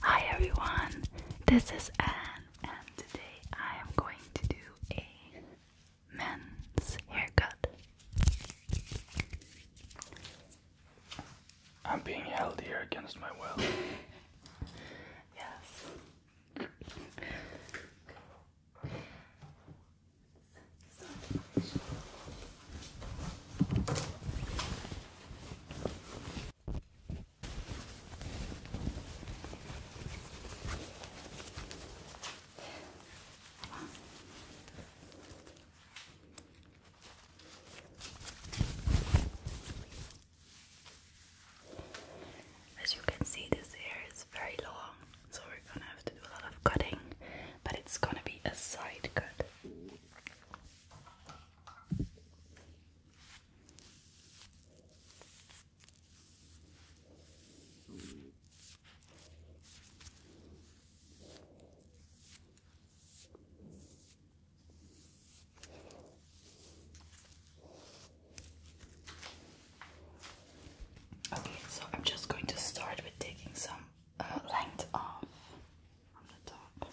Hi everyone, this is Anne, and today I am going to do a men's haircut. I'm being held here against my will. yes. As you can see, this hair is very long, so we're gonna have to do a lot of cutting, but it's gonna be a side cut. Okay, so I'm just going to start with taking some uh, length off on the top.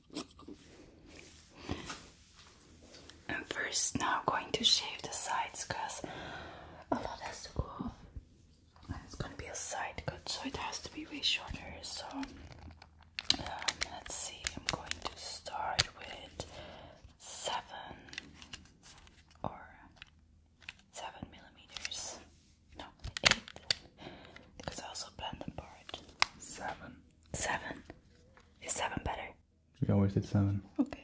I'm first now going to shave the sides because a lot has to go And it's gonna be a side cut, so it has to be way shorter. So um, let's see, I'm going to start with seven or seven millimeters. No, eight. Because I also planned them part. Seven. Seven. Is seven better? We always did seven. Okay.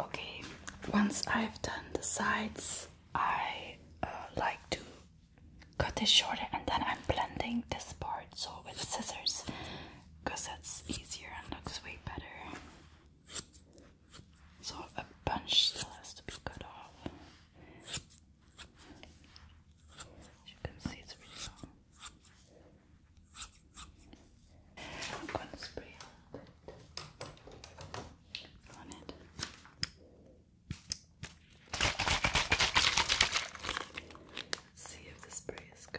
Okay, once I've done the sides, I uh, like to cut this shorter and then I'm blending this part so with scissors because that's easier and looks way better. So a bunch still has to be cut off. As you can see, it's really long. I'm gonna spray a on it. Let's see if the spray is good.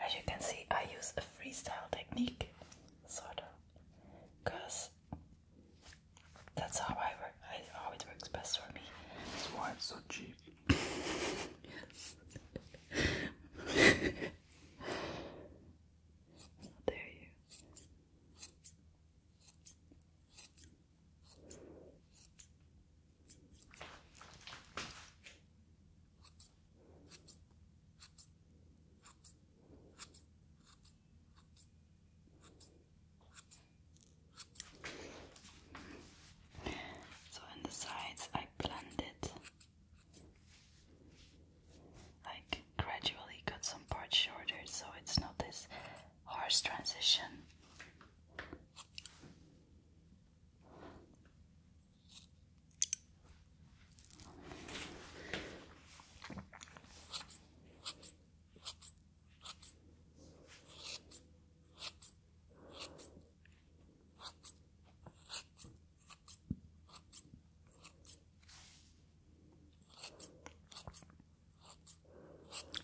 As you can see, I use a freestyle technique, sort of, because that's how I work. It always works best for me. That's why it's so cheap. there you. So in the sides I blend Like gradually cut some parts shorter so it's not this harsh transition.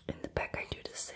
In the back, I do the same.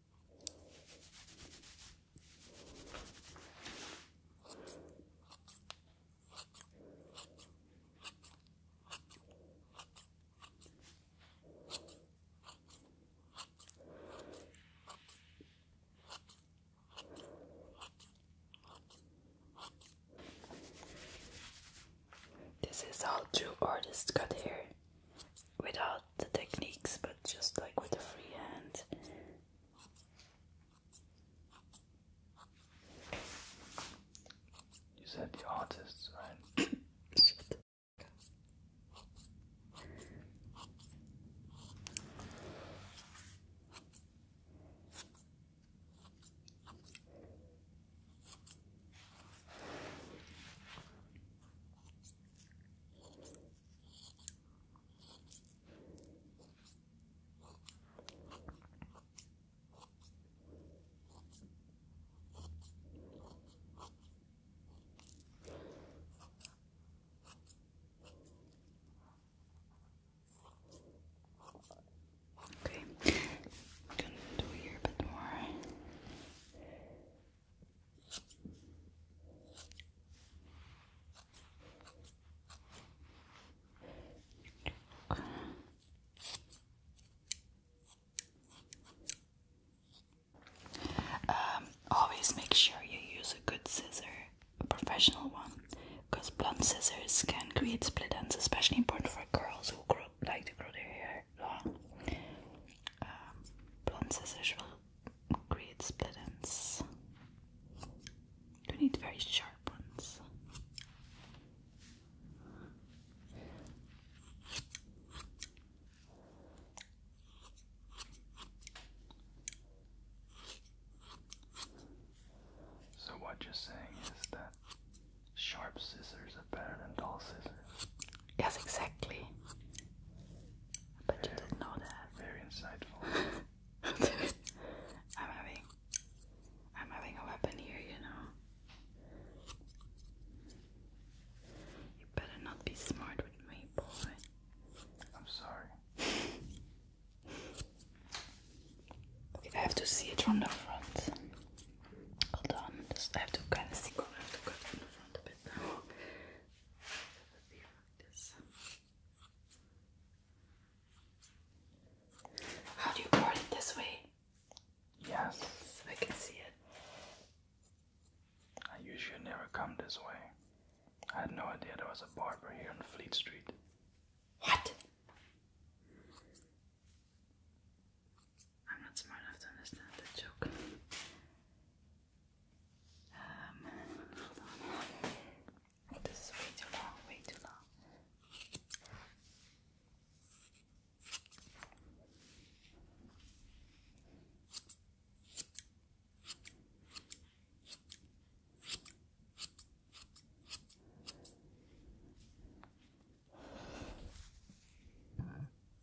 This is how true artists got here without the techniques, but just like with the free hand. You said the artists, right? Okay, gonna do here a bit more. Um, always make sure you use a good scissor, a professional one, because blunt scissors can create split ends, especially important for girls who like to grow their hair um, long. scissors will create split You need very sharp ones. So what you're saying is that sharp scissors are better than dull scissors. Yes, exactly. But you didn't know that. Very insightful. I'm having I'm having a weapon here, you know. You better not be smart with me, boy. I'm sorry. okay, I have to see it from the front. Hold on, I have to kind of see I from the front. How do you part this way? Yes. yes. I can see it. I usually never come this way. I had no idea there was a barber here on Fleet Street. What? I'm not smart enough to understand the joke. Um, this is way too long, way too long.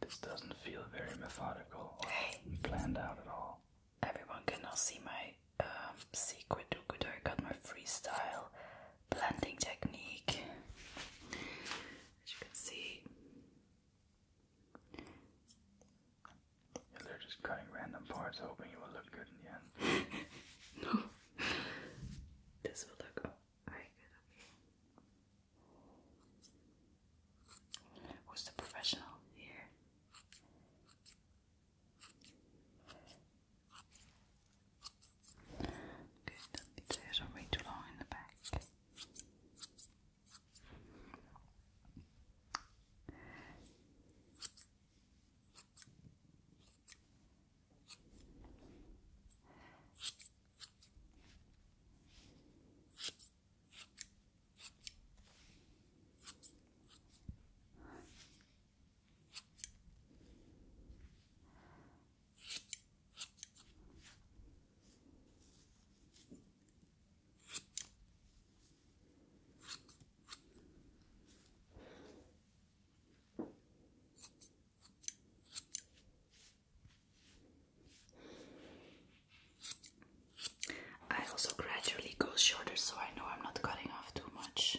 This doesn't feel very methodical or planned out at all. Everyone can now see my secret. um, secret. I got my freestyle blending technique. As you can see, they're just cutting random parts, hoping it will look good in the end. no, this will look good. Who's the professional here? Okay, don't way too long in the back. I also gradually go shorter so I know I'm not cutting off too much.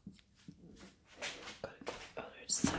Gotta go the other side.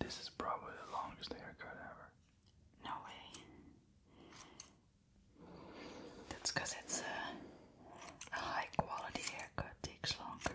This is probably the longest haircut ever. No way. That's because it's a, high quality haircut, takes longer.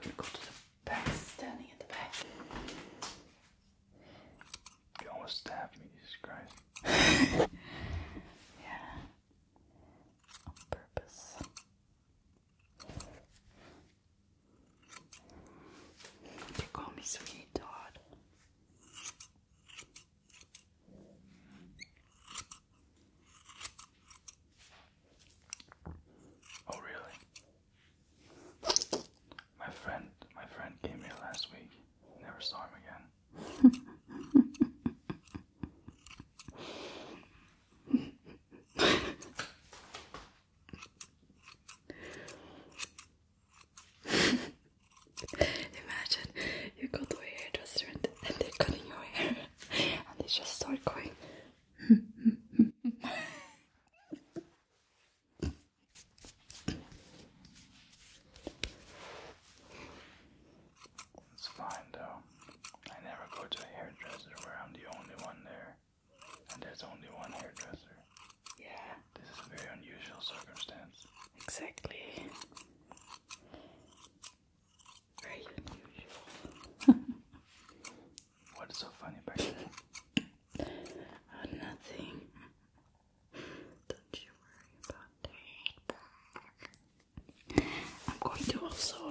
Gonna go to the back, standing at the back. You almost stabbed me, Jesus Christ. yeah. On purpose. You call me sweet Todd. Oh really? My friend my friend came here last week. Never saw him again. Imagine you go to a hairdresser and they're cutting your hair and they just start going. It's fine though. I never go to a hairdresser where I'm the only one there, and there's only one hairdresser. Yeah. This is a very unusual circumstance. Exactly. Very unusual. what is so funny about that? nothing. Don't you worry about it. I'm going to also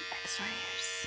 x-rayers.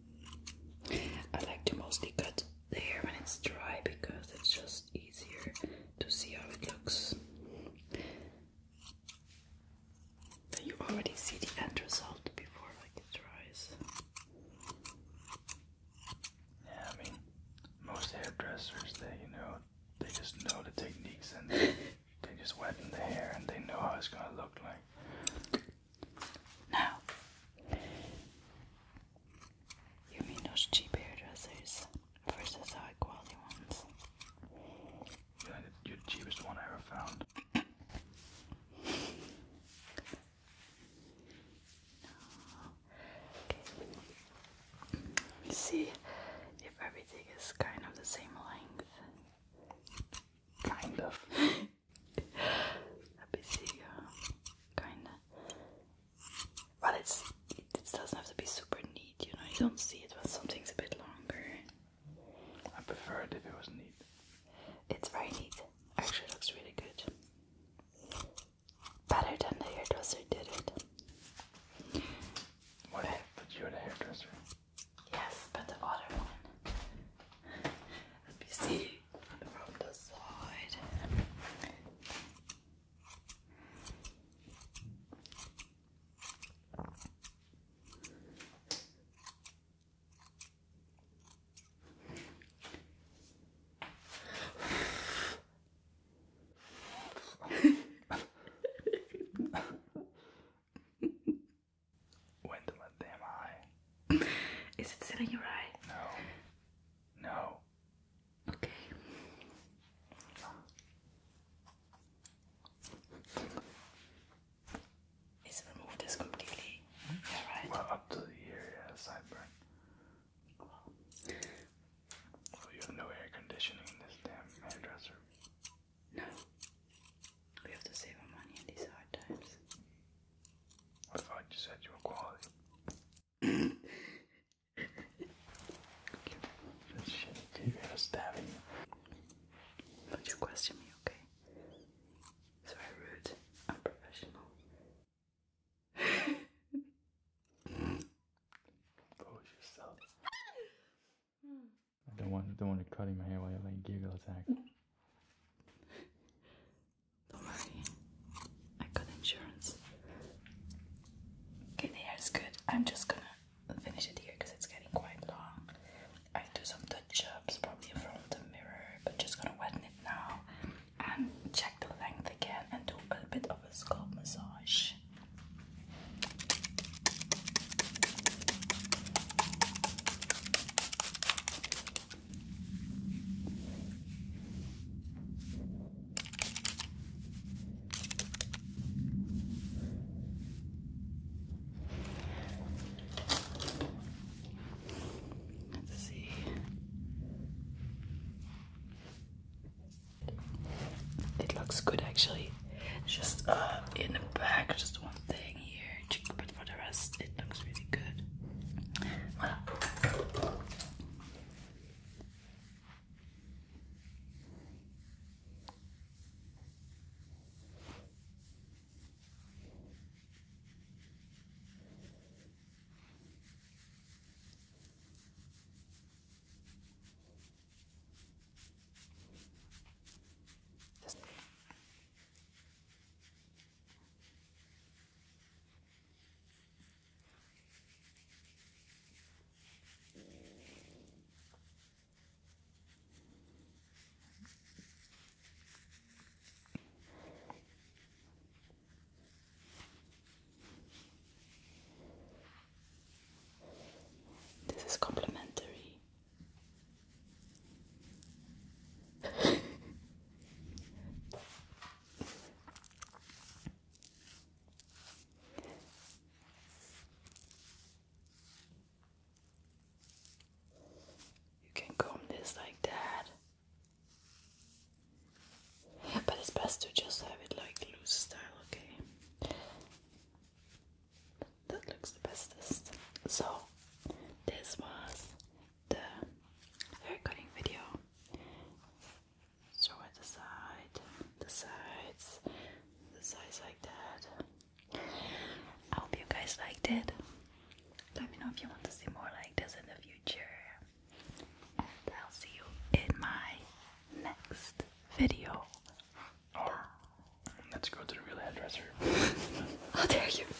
I like to mostly cut the hair when it's dry because it's just easier to see how it looks. you already see the end result before like it dries. Yeah, I mean, most hairdressers, they, you know, they just know the techniques and they, just wet the hair and they know how it's gonna look like. Now, you mean those cheap hairdressers versus high quality ones? you're the cheapest one I ever found. okay. Let me see if everything is kind of the same length. Kind of. a bit bigger, kind But it's it, doesn't have to be super neat, you know. You don't see it when something's a bit longer. I prefer if it was neat. It's very neat. Actually, looks really good. Better than the hairdresser did it. What? But you're the hairdresser. Yes, but the other one a busy from the side. When to let eye. Is it still in your eye? No. No. Okay. Is remove this completely? Yeah, right. Well, up to here, yeah, sideburn. Well, you have no air conditioning in this damn hairdresser. No. We have to save our money in these hard times. I thought said you were quality. this shit, you gotta stab me. But you question me, okay? So I rude, unprofessional. Pose yourself. I don't want, don't want to cut in my hair while you're like giggle attack. Don't worry, I got insurance. Okay, the hair is good. I'm just gonna finish it here because it's getting quite long. I do some touch ups probably in front of the mirror, but just gonna wet it now and check the length again and do a bit of a scalp massage. Let's see. It looks good actually. Just uh, in the back, just one thing thing here, but for the rest, it looks really good. This is complimentary you can comb this like that. But it's best to just have it like loose style, okay? That looks the bestest. So, this was the hair cutting video. So at the side, the sides, the sides like that. I hope you guys liked it. Let me know if you want to see more like this in the future. And I'll see you in my next video. Oh, let's go to the real hairdresser. How oh, dare you!